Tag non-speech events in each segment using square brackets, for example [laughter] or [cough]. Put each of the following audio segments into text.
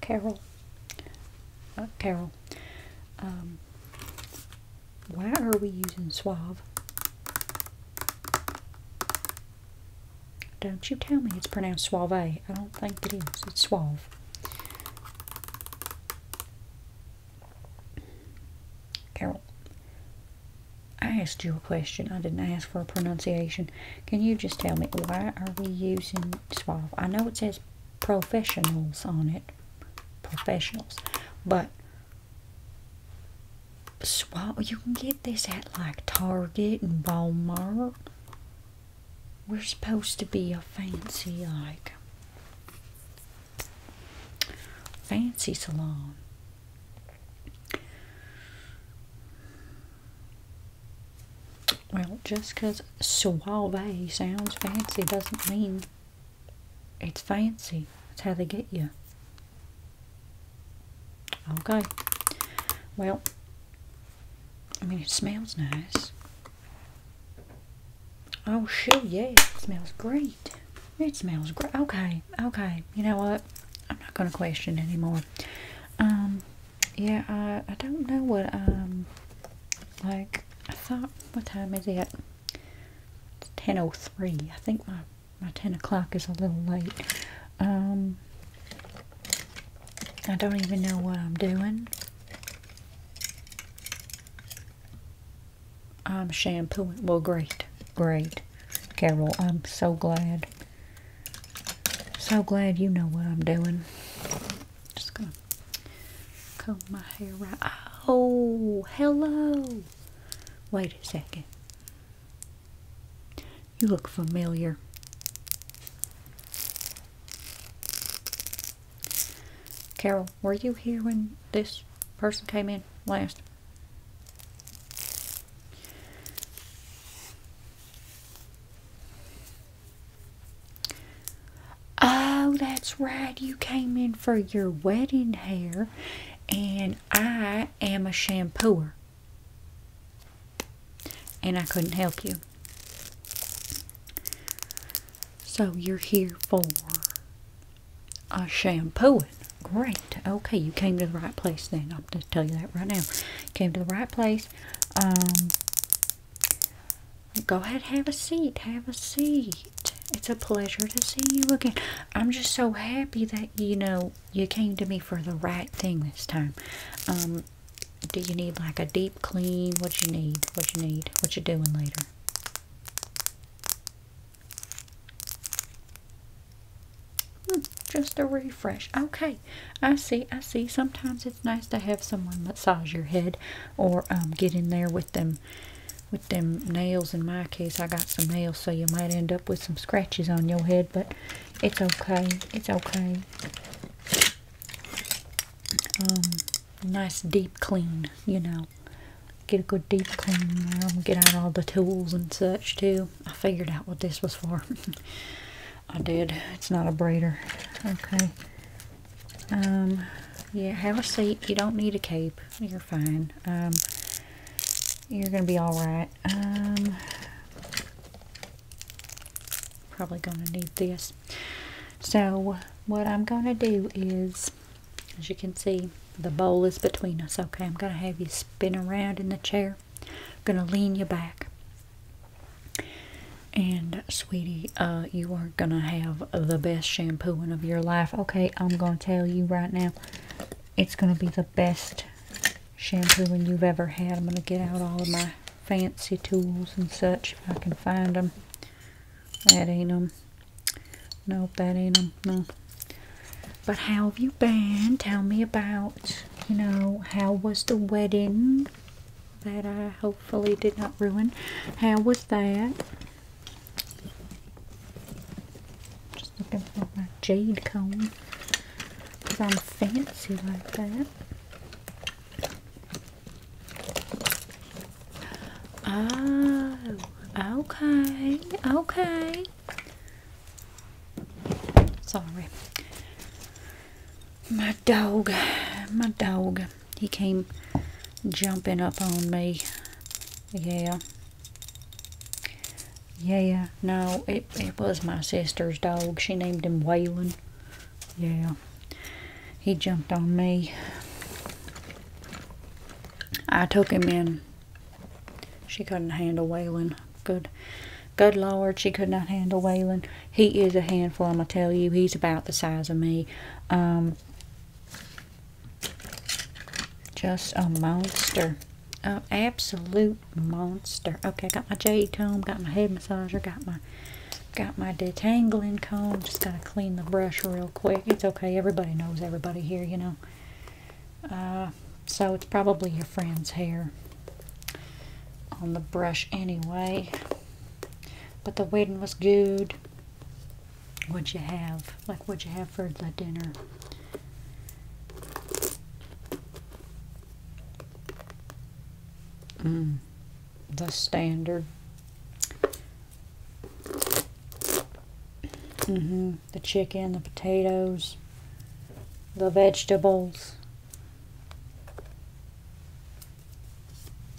Carol, Carol, um, why are we using Suave? Don't you tell me it's pronounced Suave. I don't think it is. It's Suave. Carol, I asked you a question. I didn't ask for a pronunciation. Can you just tell me why are we using suave? I know it says professionals on it. Professionals. But suave, you can get this at like Target and Walmart. We're supposed to be a fancy like fancy salon. Well, just because suave sounds fancy doesn't mean it's fancy. That's how they get you. Okay. Well, I mean, it smells nice. Oh, sure, yeah. It smells great. It smells great. Okay, okay. You know what? I'm not going to question anymore. Um, yeah, I, I don't know what, um, like, I thought, what time is it? It's 10.03. I think my, my 10 o'clock is a little late. Um, I don't even know what I'm doing. I'm shampooing. Well, great. Great. Carol, I'm so glad. So glad you know what I'm doing. Just gonna comb my hair right. Oh, hello. Wait a second. You look familiar. Carol, were you here when this person came in last? Oh, that's right. You came in for your wedding hair, and I am a shampooer. And I couldn't help you. So you're here for a shampooing great. Okay, you came to the right place then. I'll just tell you that right now. Came to the right place. Um, go ahead, have a seat. Have a seat. It's a pleasure to see you again. I'm just so happy that you know you came to me for the right thing this time. Um, do you need like a deep clean? What you need? What you need? What you doing later? Hmm, just a refresh. Okay, I see, I see. Sometimes it's nice to have someone massage your head or um, get in there with them with them nails. In my case, I got some nails, so you might end up with some scratches on your head, but it's okay. It's okay. Um, nice deep clean, you know. Get a good deep clean. Um, get out all the tools and such, too. I figured out what this was for. [laughs] I did. It's not a breeder. Okay. Um, yeah, have a seat. You don't need a cape. You're fine. Um, you're going to be alright. Um, probably going to need this. So, what I'm going to do is, as you can see, the bowl is between us. Okay, I'm going to have you spin around in the chair. I'm gonna lean you back. And sweetie, uh, you are gonna have the best shampooing of your life. Okay, I'm gonna tell you right now, it's gonna be the best shampooing you've ever had. I'm gonna get out all of my fancy tools and such if I can find them. That ain't them. Nope, that ain't them. No, but how have you been? Tell me about, you know, how was the wedding that I hopefully did not ruin? How was that? Just looking for my jade comb because I'm fancy like that. Oh, okay, okay. Sorry. My dog, my dog, he came jumping up on me. Yeah. Yeah, no, it, it was my sister's dog. She named him Waylon. Yeah. He jumped on me. I took him in she couldn't handle Waylon. Good. Good Lord, she could not handle Waylon. He is a handful, I'm going to tell you. He's about the size of me. Um, just a monster. An absolute monster. Okay, got my jade comb, got my head massager, got my got my detangling comb. Just got to clean the brush real quick. It's okay. Everybody knows everybody here, you know. Uh, so it's probably your friend's hair on the brush anyway. But the wedding was good. What'd you have? Like, what'd you have for the dinner? Mm, the standard. Mm-hmm the chicken, the potatoes, the vegetables.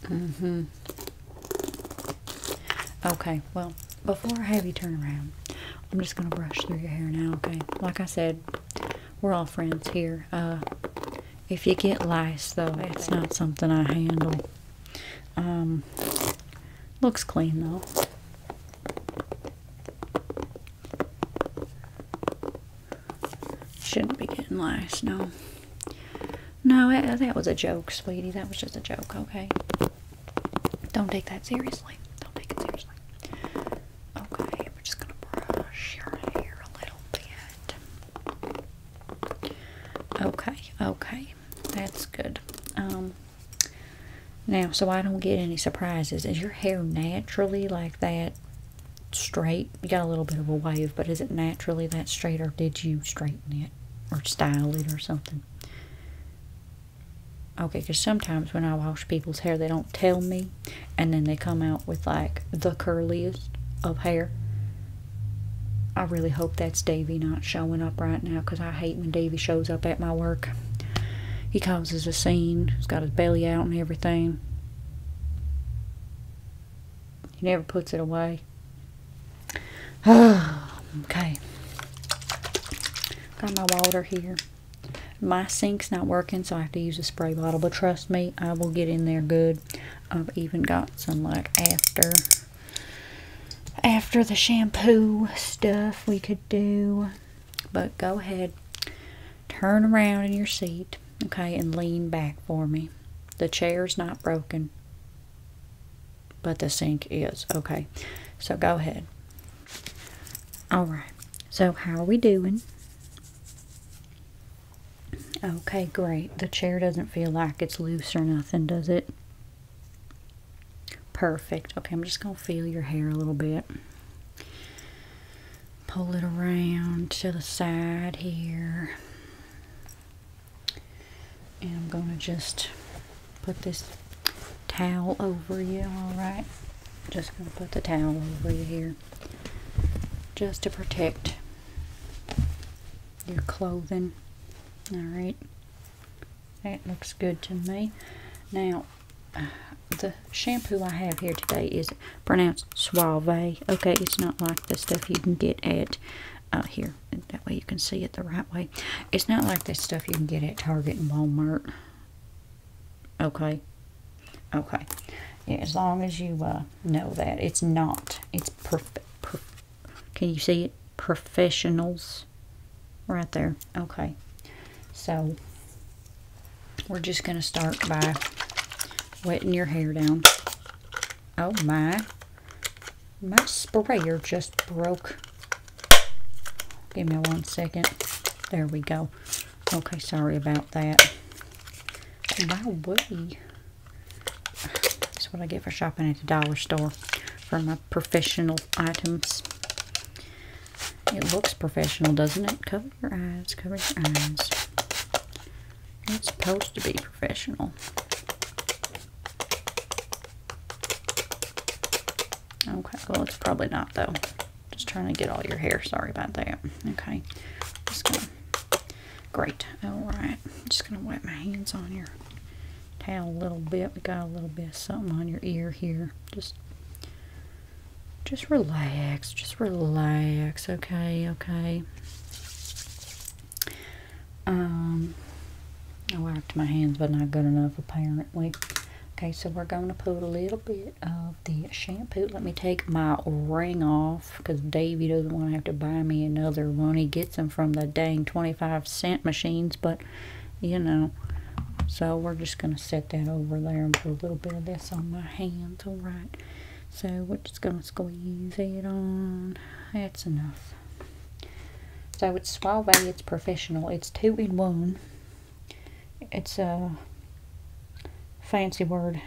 hmm. Okay, well, before I have you turn around, I'm just going to brush through your hair now, okay? Like I said, we're all friends here. Uh, if you get lice, though, it's not something I handle. Um, looks clean, though. Shouldn't be getting lost, no. No, that, that was a joke, sweetie. That was just a joke, okay? Don't take that seriously. Don't take it seriously. Okay, we're just gonna brush your hair a little bit. Okay, okay. That's good. Um now, so I don't get any surprises. Is your hair naturally like that straight? You got a little bit of a wave, but is it naturally that straight or did you straighten it or style it or something? Okay, because sometimes when I wash people's hair, they don't tell me, and then they come out with like the curliest of hair. I really hope that's Davy not showing up right now because I hate when Davy shows up at my work. He causes a scene. He's got his belly out and everything. He never puts it away. [sighs] okay. Got my water here. My sink's not working, so I have to use a spray bottle. But trust me, I will get in there good. I've even got some like after after the shampoo stuff we could do. But go ahead, turn around in your seat, okay, and lean back for me. The chair's not broken, but the sink is, okay. So go ahead. All right, so how are we doing? Okay, great. The chair doesn't feel like it's loose or nothing, does it? Perfect. Okay, I'm just going to feel your hair a little bit. Pull it around to the side here. And I'm going to just put this towel over you, alright? Just going to put the towel over you here. Just to protect your clothing. Alright. That looks good to me. Now, the shampoo I have here today is pronounced Suave. Okay, it's not like the stuff you can get at uh, here. That way you can see it the right way. It's not like the stuff you can get at Target and Walmart. Okay. Okay. as long as you uh, know that. It's not. It's perfect. Perf can you see it? Professionals right there okay so we're just going to start by wetting your hair down oh my my sprayer just broke give me a one second there we go okay sorry about that my that's what I get for shopping at the dollar store for my professional items it looks professional, doesn't it? Cover your eyes, cover your eyes. It's supposed to be professional. Okay, well, it's probably not, though. Just trying to get all your hair. Sorry about that. Okay. Just Great. All right. Just gonna wipe my hands on your tail a little bit. We got a little bit of something on your ear here. Just just relax, just relax, okay, okay. Um, I wiped my hands, but not good enough apparently. Okay, so we're going to put a little bit of the shampoo. Let me take my ring off because Davey doesn't want to have to buy me another one. He gets them from the dang 25 cent machines, but you know. So we're just going to set that over there and put a little bit of this on my hands, alright. So we're just going to squeeze it on. That's enough. So it's Suave, it's professional. It's two in one. It's a fancy word.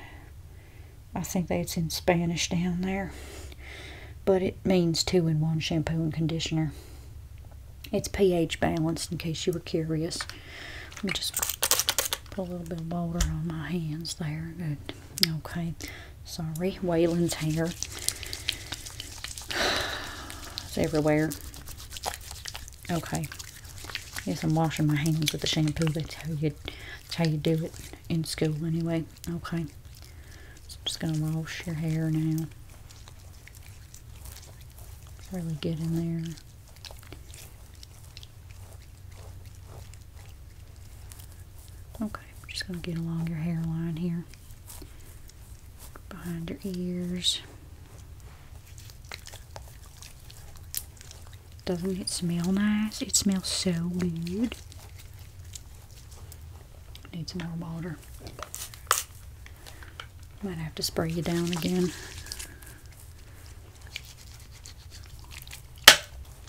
I think that's in Spanish down there. But it means two in one shampoo and conditioner. It's pH balanced in case you were curious. Let me just put a little bit of water on my hands there. Good. Okay. Sorry. Waylon's hair. [sighs] It's everywhere. Okay. Yes, I'm washing my hands with the shampoo. That's how you, that's how you do it in school anyway. Okay. So I'm just going to wash your hair now really get in there. Okay, just going to get along your hairline here. Behind your ears. Doesn't it smell nice? It smells so good. Need some more water. Might have to spray you down again.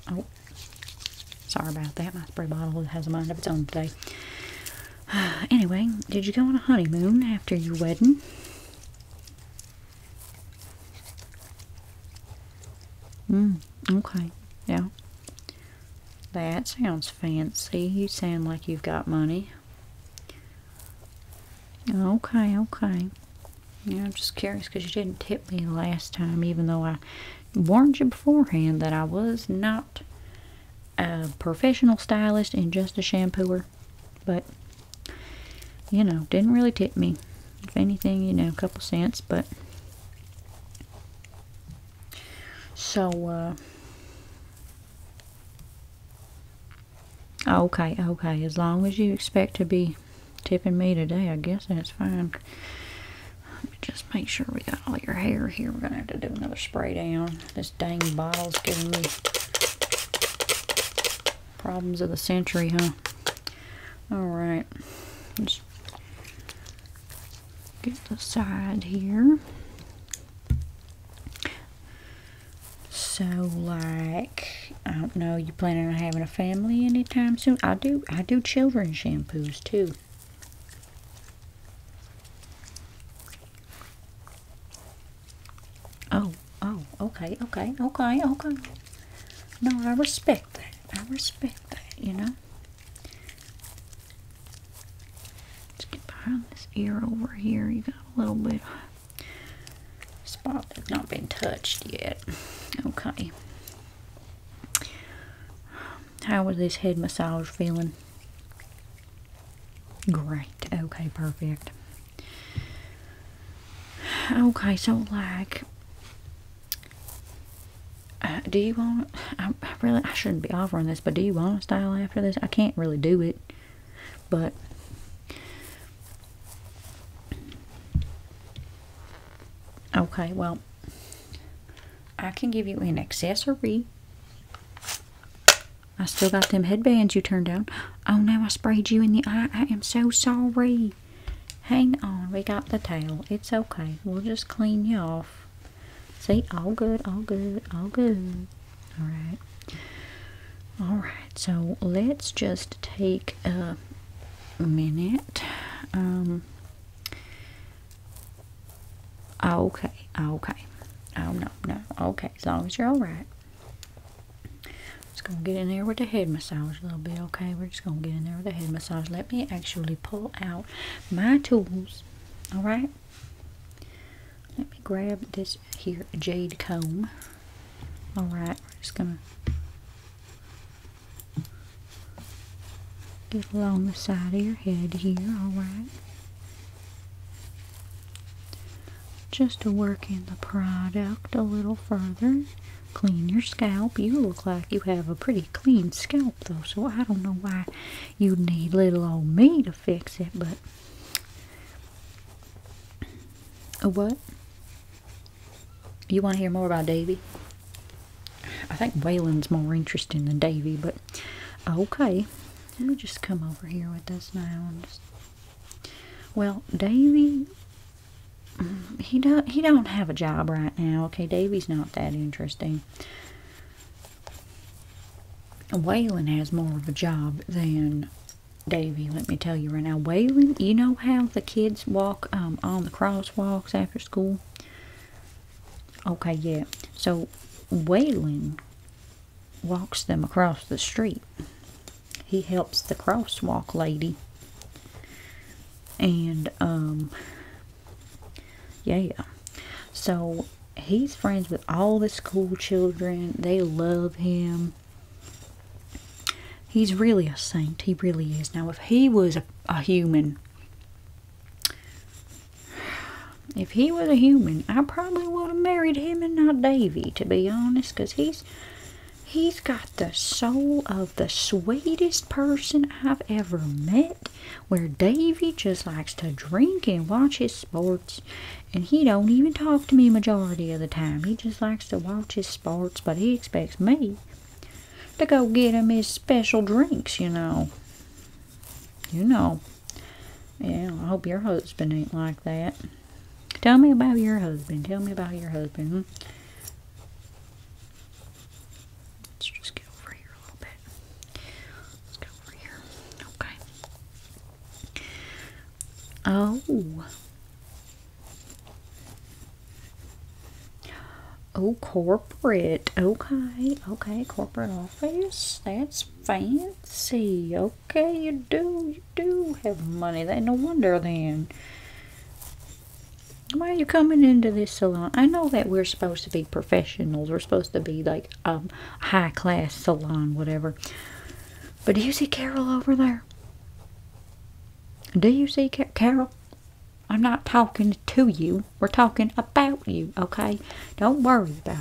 Oh, sorry about that. My spray bottle has a mind of its own today. [sighs] anyway, did you go on a honeymoon after your wedding? Mm, okay, yeah. That sounds fancy. You sound like you've got money. Okay, okay. Yeah, I'm just curious because you didn't tip me last time, even though I warned you beforehand that I was not a professional stylist and just a shampooer. But, you know, didn't really tip me. If anything, you know, a couple cents, but. So, uh, Okay, okay. As long as you expect to be tipping me today, I guess that's fine. just make sure we got all your hair here. We're going to have to do another spray down. This dang bottle's giving me problems of the century, huh? Alright. Just get the side here. So, like, I don't know, you planning on having a family anytime soon? I do, I do children shampoos too. Oh, oh, okay, okay, okay, okay. No, I respect that. I respect that, you know? Let's get behind this ear over here. You got a little bit of spot that's not been touched yet. Okay. How was this head massage feeling? Great. Okay, perfect. Okay, so like, uh, do you want? I really I shouldn't be offering this, but do you want to style after this? I can't really do it but okay, well, I can give you an accessory. I still got them headbands you turned down. Oh no, I sprayed you in the eye. I am so sorry. Hang on, we got the towel. It's okay. We'll just clean you off. See, all good, all good, all good all right all right so let's just take a minute um, ah, okay ah, okay oh no no okay as long as you're all right just gonna get in there with the head massage a little bit okay we're just gonna get in there with the head massage let me actually pull out my tools all right let me grab this here jade comb. Alright, we're just gonna get along the side of your head here, alright. Just to work in the product a little further. Clean your scalp. You look like you have a pretty clean scalp though, so I don't know why you'd need little old me to fix it, but a what? You want to hear more about Davy? I think Waylon's more interesting than Davy, but okay. Let me just come over here with this now. well, Davy, he don't he don't have a job right now. Okay, Davy's not that interesting. Waylon has more of a job than Davy, let me tell you right now. Waylon, you know how the kids walk um, on the crosswalks after school? Okay, yeah. So, Waylon walks them across the street. He helps the crosswalk lady. And, um, yeah. So, he's friends with all the school children. They love him. He's really a saint. He really is. Now, if he was a, human, if he was a human, I probably would have married him and not Davy, to be honest, because he's he's got the soul of the sweetest person I've ever met. Where Davy just likes to drink and watch his sports and he don't even talk to me majority of the time. He just likes to watch his sports, but he expects me to go get him his special drinks, you know. You know. Yeah, I hope your husband ain't like that. Tell me about your husband. Tell me about your husband. Hmm? Let's just get over here a little bit. Let's get over here. Okay. Oh. Oh, corporate. Okay, okay, corporate office. That's fancy. Okay, you do, you do have money. That no wonder then. Why are you coming into this salon? I know that we're supposed to be professionals. We're supposed to be like a um, high class salon, whatever. But do you see Carol over there? Do you see Carol? I'm not talking to you. We're talking about you, okay? Don't worry about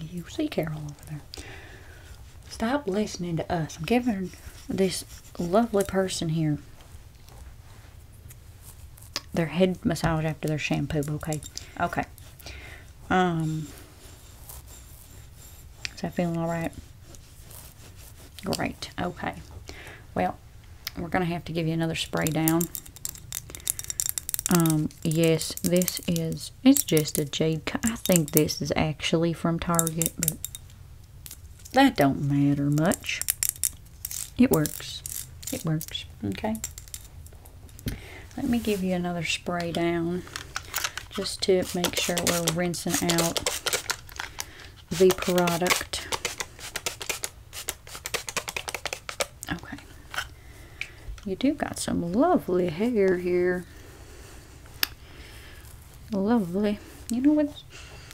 it. You see Carol over there. Stop listening to us. I'm giving this lovely person here their head massage after their shampoo Okay, Okay. Um, is that feeling all right? Great. Okay. Well, we're going to have to give you another spray down. Um, yes, this is, it's just a jade. I think this is actually from Target, but that don't matter much. It works. It works. Okay. Let me give you another spray down just to make sure we're rinsing out the product. Okay. You do got some lovely hair here. Lovely. You know what?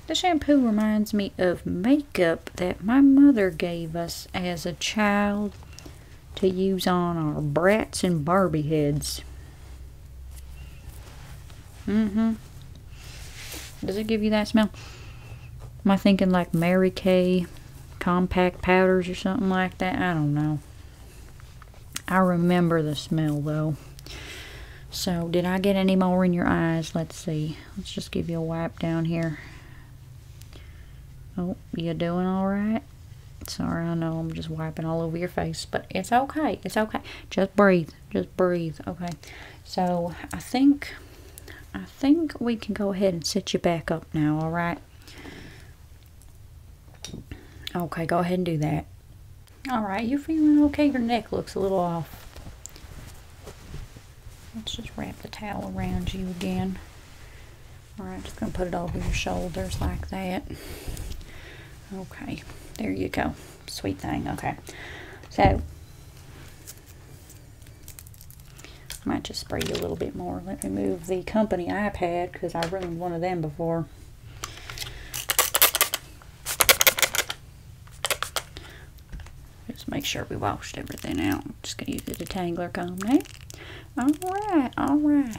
The shampoo reminds me of makeup that my mother gave us as a child to use on our brats and Barbie heads. Mm-hmm. Does it give you that smell? Am I thinking like Mary Kay compact powders or something like that? I don't know. I remember the smell though. So, did I get any more in your eyes? Let's see. Let's just give you a wipe down here. Oh, you doing all right? Sorry, I know I'm just wiping all over your face, but it's okay. It's okay. Just breathe. Just breathe. Okay. So I think, I think we can go ahead and set you back up now. All right. Okay, go ahead and do that. All right, you're feeling okay. Your neck looks a little off. Let's just wrap the towel around you again. Alright, just going to put it over your shoulders like that. Okay, there you go. Sweet thing. Okay, so might just spray you a little bit more. Let me move the company iPad because I ruined one of them before. Just make sure we washed everything out. just going to use the detangler comb now. Eh? Alright, alright.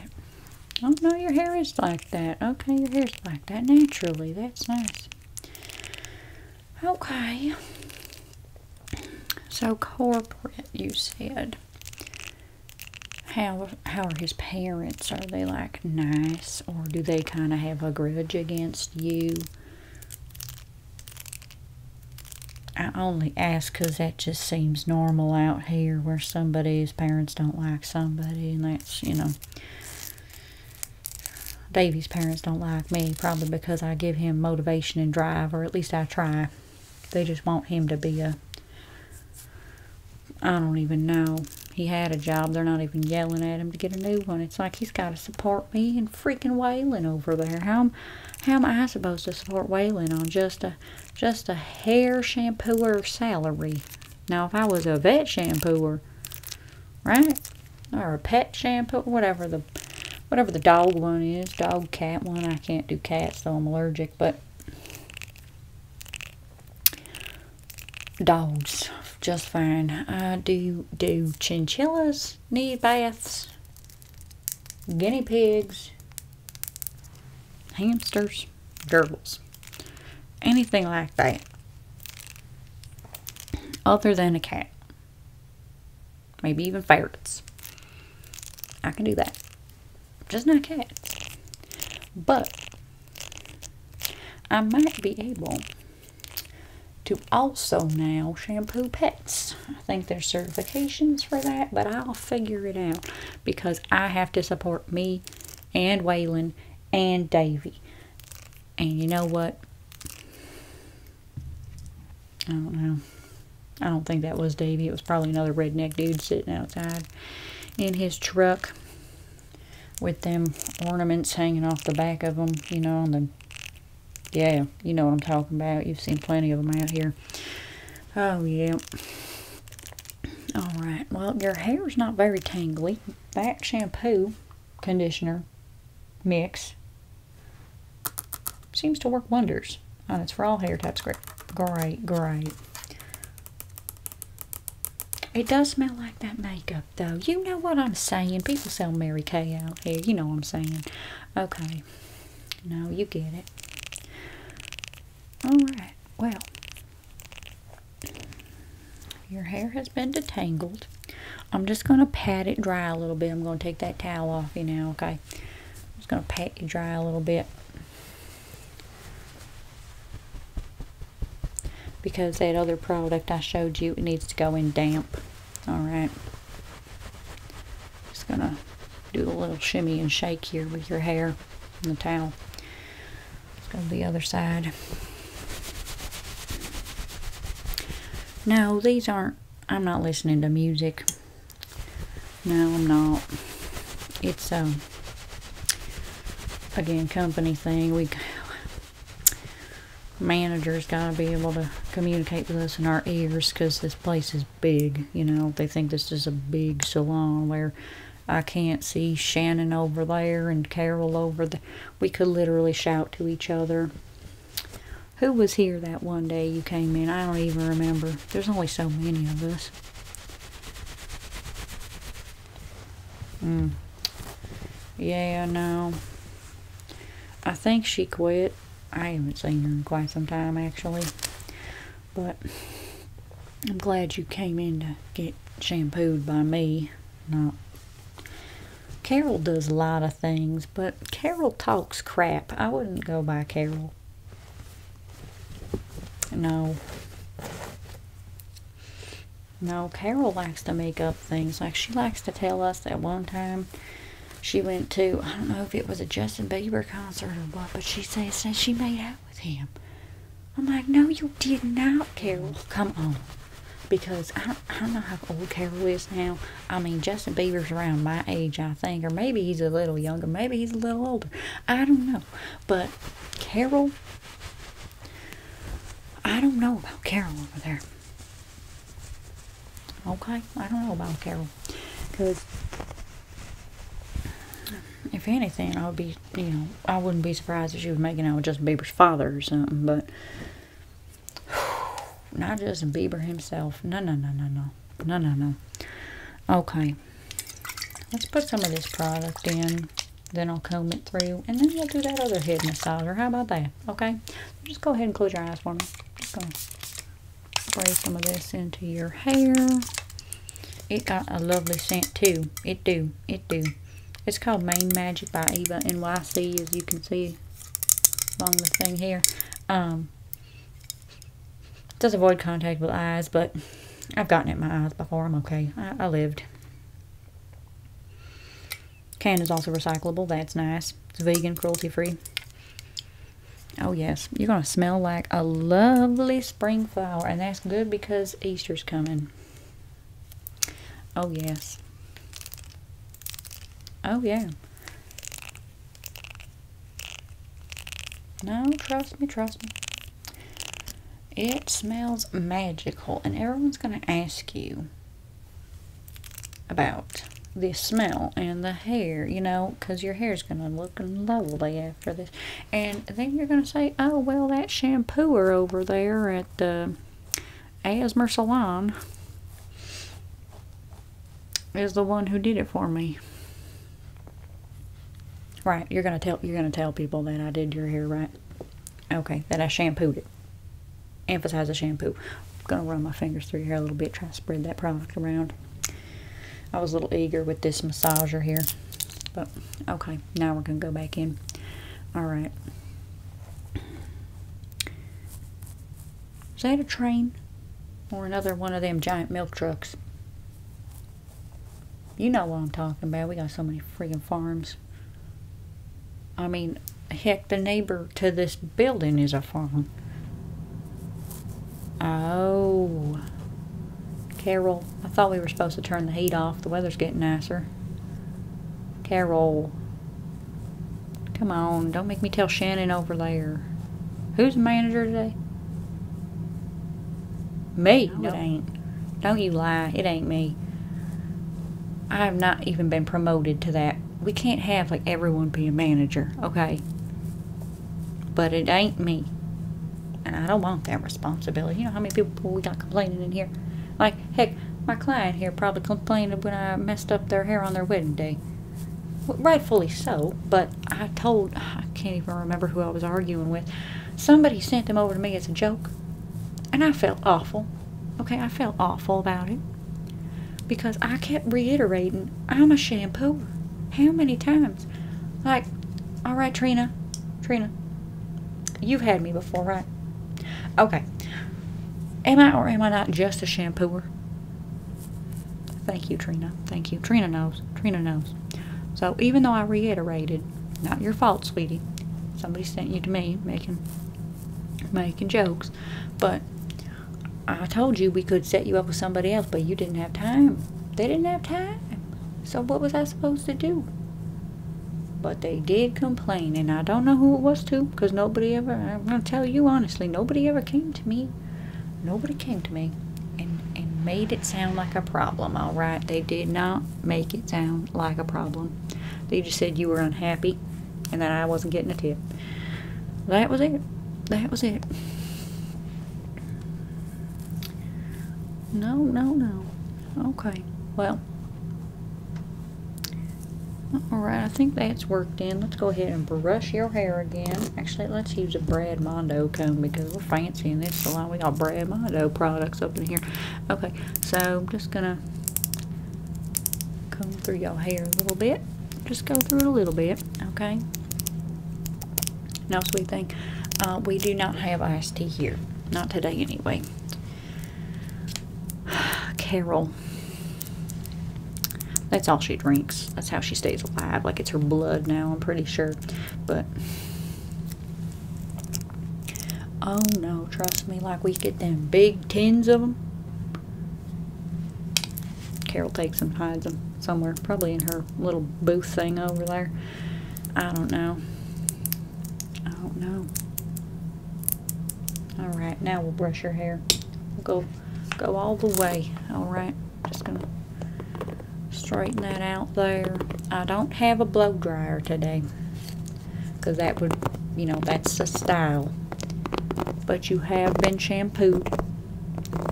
I oh, don't know your hair is like that. Okay, your hair's like that naturally. That's nice. Okay. So corporate, you said. How how are his parents? Are they like nice, or do they kind of have a grudge against you? I only ask because that just seems normal out here where somebody's parents don't like somebody, and that's, you know. Davy's parents don't like me, probably because I give him motivation and drive, or at least I try. They just want him to be a. I don't even know. He had a job. They're not even yelling at him to get a new one. It's like he's got to support me and freaking wailing over there. How am how am I supposed to support Whalen on just a just a hair shampooer salary? Now, if I was a vet shampooer, right, or a pet shampooer, whatever the whatever the dog one is, dog cat one. I can't do cats though I'm allergic, but dogs just fine. I do do chinchillas need baths? guinea pigs, hamsters, gerbils, anything like that, other than a cat, maybe even ferrets. I can do that, just not cats. But I might be able to also now shampoo pets. I think there's certifications for that, but I'll figure it out because I have to support me and Waylon and Davy. And you know what? I don't know. I don't think that was Davy. It was probably another redneck dude sitting outside in his truck with them ornaments hanging off the back of him, you know, on the yeah, you know what I'm talking about. You've seen plenty of them out here. Oh, yeah. All right. Well, your hair's not very tangly. That shampoo, conditioner mix seems to work wonders. And oh, it's for all hair types. Great, great, great. It does smell like that makeup, though. You know what I'm saying. People sell Mary Kay out here. You know what I'm saying. Okay, no, you get it. Alright, well, your hair has been detangled. I'm just going to pat it dry a little bit. I'm going to take that towel off you now, okay? just going to pat you dry a little bit. Because that other product I showed you, it needs to go in damp. All right. Just gonna do a little shimmy and shake here with your hair and the towel. Let's go to the other side. No, these aren't, I'm not listening to music. No, I'm not. It's, a um, again, company thing. We, manager's gotta be able to communicate with us in our ears because this place is big. You know, they think this is a big salon where I can't see Shannon over there and Carol over there. We could literally shout to each other. Who was here that one day you came in? I don't even remember. There's only so many of us. Mm. Yeah, no. I think she quit. I haven't seen her in quite some time actually. But I'm glad you came in to get shampooed by me. Not Carol does a lot of things, but Carol talks crap. I wouldn't go by Carol. No. No, Carol likes to make up things. Like she likes to tell us that one time she went to, I don't know if it was a Justin Bieber concert or what, but she says that she made out with him. I'm like, no, you did not, Carol. Come on. Because I, I know how old Carol is now. I mean, Justin Bieber's around my age, I think, or maybe he's a little younger, maybe he's a little older. I don't know. But Carol, I don't know about Carol over there. Okay, I don't know about Carol, because if anything, I would be, you know, I wouldn't be surprised if she was making out with Justin Bieber's father or something, but [sighs] not Justin Bieber himself. No, no, no, no, no, no, no, no. Okay, let's put some of this product in. Then I'll comb it through, and then we'll do that other head massager. How about that? Okay, just go ahead and close your eyes for me. Just go spray some of this into your hair. It got a lovely scent too. It do. It do. It's called Main Magic by Eva NYC as you can see along the thing here. does um, avoid contact with eyes, but I've gotten it my eyes before. I'm okay. I lived. Can is also recyclable. That's nice. It's vegan, cruelty-free. Oh, yes. You're going to smell like a lovely spring flower. And that's good because Easter's coming. Oh, yes. Oh, yeah. Now trust me, trust me. It smells magical. And everyone's going to ask you, about the smell and the hair, you know, because your hair's going to look lovely after this. And then you're going to say, oh, well, that shampooer over there at the uh, Asmer Salon is the one who did it for me. Right, you're gonna tell you're gonna tell people that I did your hair right. Okay, that I shampooed it. Emphasize the shampoo. I'm gonna run my fingers through here a little bit, try to spread that product around. I was a little eager with this massager here, but okay, now we're gonna go back in. All right. Is that a train or another one of them giant milk trucks? You know what I'm talking about. We got so many freaking farms. I mean, heck, the neighbor to this building is a farm. Oh. Carol. I thought we were supposed to turn the heat off. The weather's getting nicer. Carol. Come on. Don't make me tell Shannon over there. Who's manager today? Me. No, no, it ain't. Don't you lie. It ain't me. I have not even been promoted to that we can't have like everyone be a manager, okay? But it ain't me. And I don't want that responsibility. You know how many people we got complaining in here? Like, heck, my client here probably complained when I messed up their hair on their wedding day. rightfully so, but I told, I can't even remember who I was arguing with. Somebody sent them over to me as a joke, and I felt awful. Okay, I felt awful about it. Because I kept reiterating, I'm a shampooer. How many times? Like, all right, Trina, Trina, you've had me before, right? Okay. Am I or am I not just a shampooer? Thank you, Trina. Thank you. Trina knows. Trina knows. So even though I reiterated, not your fault, sweetie. Somebody sent you to me making making jokes, but I told you we could set you up with somebody else, but you didn't have time. They didn't have time. So what was I supposed to do? But they did complain, and I don't know who it was to, because nobody ever, I'm going to tell you honestly, nobody ever came to me. Nobody came to me and, and made it sound like a problem, all right? They did not make it sound like a problem. They just said you were unhappy and that I wasn't getting a tip. That was it. That was it. No, no, no. Okay. Well. Alright, I think that's worked in. Let's go ahead and brush your hair again. Actually, let's use a Brad Mondo comb because we're fancying this salon. We got Brad Mondo products up in here. Okay, so I'm just going to comb through your hair a little bit. Just go through it a little bit, okay? No sweet thing. Uh, we do not have iced tea here. Not today, anyway. [sighs] Carol. That's all she drinks. That's how she stays alive. Like it's her blood now, I'm pretty sure. But. Oh no, trust me. Like we get them big tins of them. Carol takes them, hides them somewhere, probably in her little booth thing over there. I don't know. I don't know. All right, now we'll brush your hair. We'll go, go all the way. All right, just gonna straighten that out there. I don't have a blow dryer today, cause that would, you know, that's a style. But you have been shampooed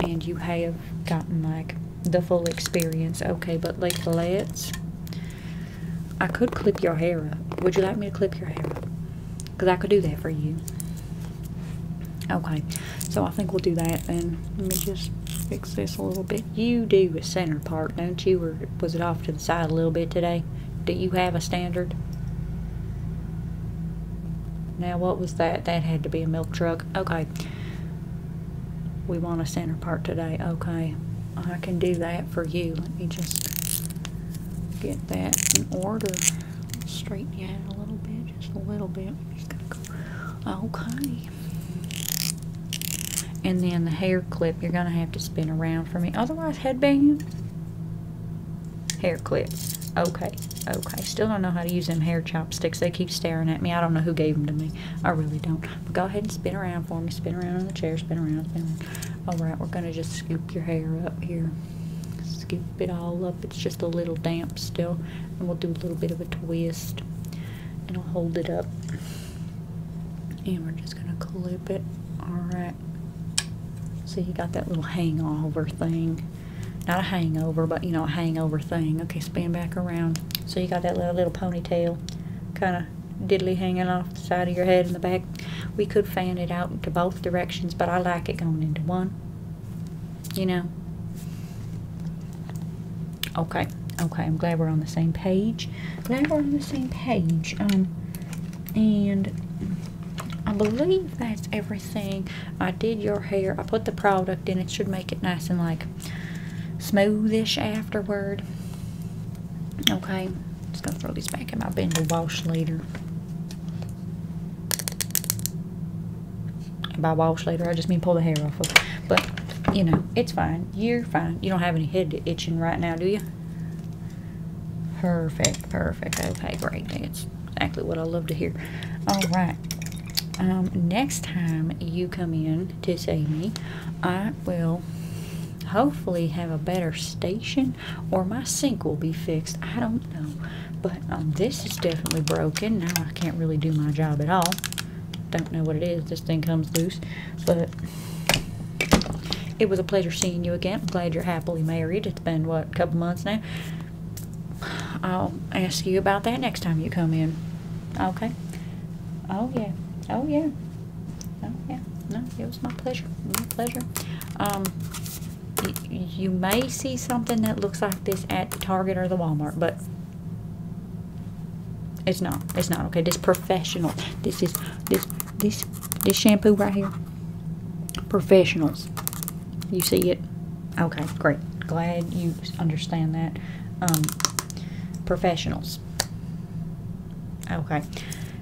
and you have gotten like the full experience. Okay, but like let's I could clip your hair up. Would you like me to clip your hair up? Because I could do that for you. Okay, so I think we'll do that then. Let me just fix this a little bit. You do a center part, don't you? Or was it off to the side a little bit today? Do you have a standard? Now, what was that? That had to be a milk truck. Okay. We want a center part today. Okay. I can do that for you. Let me just get that in order. Straighten it out a little bit. Just a little bit. Okay. And then the hair clip, you're going to have to spin around for me. Otherwise, headband. Hair clips. Okay, okay. Still don't know how to use them hair chopsticks. They keep staring at me. I don't know who gave them to me. I really don't. But go ahead and spin around for me. Spin around on the chair. Spin around. All right, we're going to just scoop your hair up here. Scoop it all up. It's just a little damp still. And we'll do a little bit of a twist. And I'll hold it up. And we're just going to clip it. All right. So you got that little hangover thing not a hangover, but you know, a hangover thing. Okay, spin back around. So you got that little, ponytail kind of diddly hanging off the side of your head in the back. We could fan it out into both directions, but I like it going into one. You know? Okay, okay, I'm glad we're on the same page. Glad we're on the same page. Um, and I believe that's everything. I did your hair. I put the product in. It should make it nice and like smoothish afterward. Okay. Just gonna throw these back in my bin to wash later. by wash later, I just mean pull the hair off But you know, it's fine. You're fine. You don't have any head itching right now, do you? Perfect, perfect. Okay, great. It's exactly what I love to hear. All right. Um, next time you come in to see me, I will hopefully have a better station or my sink will be fixed. I don't know. But um, this is definitely broken. Now I can't really do my job at all. Don't know what it is. This thing comes loose. But it was a pleasure seeing you again. I'm glad you're happily married. It's been, what, couple months now? I'll ask you about that next time you come in. Okay? Oh, yeah. Oh, yeah. Oh, yeah. No, it was my pleasure. My pleasure. Um, you may see something that looks like this at the Target or the Walmart, but it's not. It's not okay. This professional. This is this this this shampoo right here. Professionals. You see it? Okay, great. Glad you understand that. Um, professionals. Okay.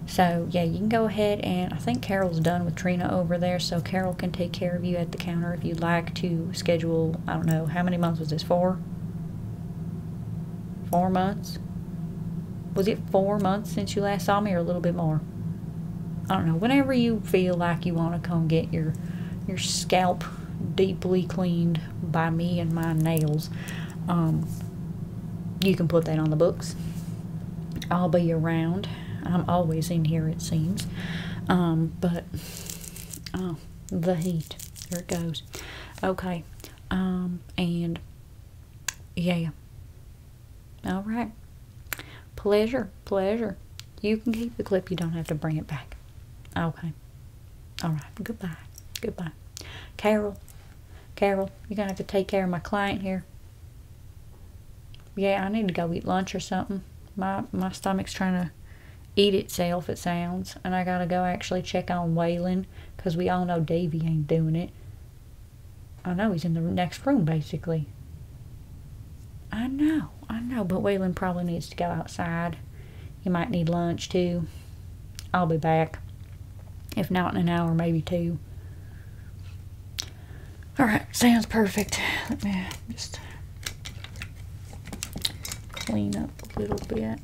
So, yeah, you can go ahead and I think Carol's done with Trina over there, so Carol can take care of you at the counter if you'd like to schedule, I don't know, how many months was this, for. Four months? Was it four months since you last saw me or a little bit more? I don't know, whenever you feel like you want to come get your your scalp deeply cleaned by me and my nails, um, you can put that on the books. I'll be around. I'm always in here, it seems. Um, but, oh, the heat. There it goes. Okay. Um, and, yeah. All right. Pleasure, pleasure. You can keep the clip. You don't have to bring it back. Okay. All right. Goodbye. Goodbye. Carol, Carol, you're going to have to take care of my client here. Yeah, I need to go eat lunch or something. My, my stomach's trying to eat itself, it sounds. And I got to go actually check on Waylon because we all know Davy ain't doing it. I know he's in the next room, basically. I know, I know, but Waylon probably needs to go outside. He might need lunch too. I'll be back. If not in an hour, maybe two. Alright, sounds perfect. Let me just clean up a little bit.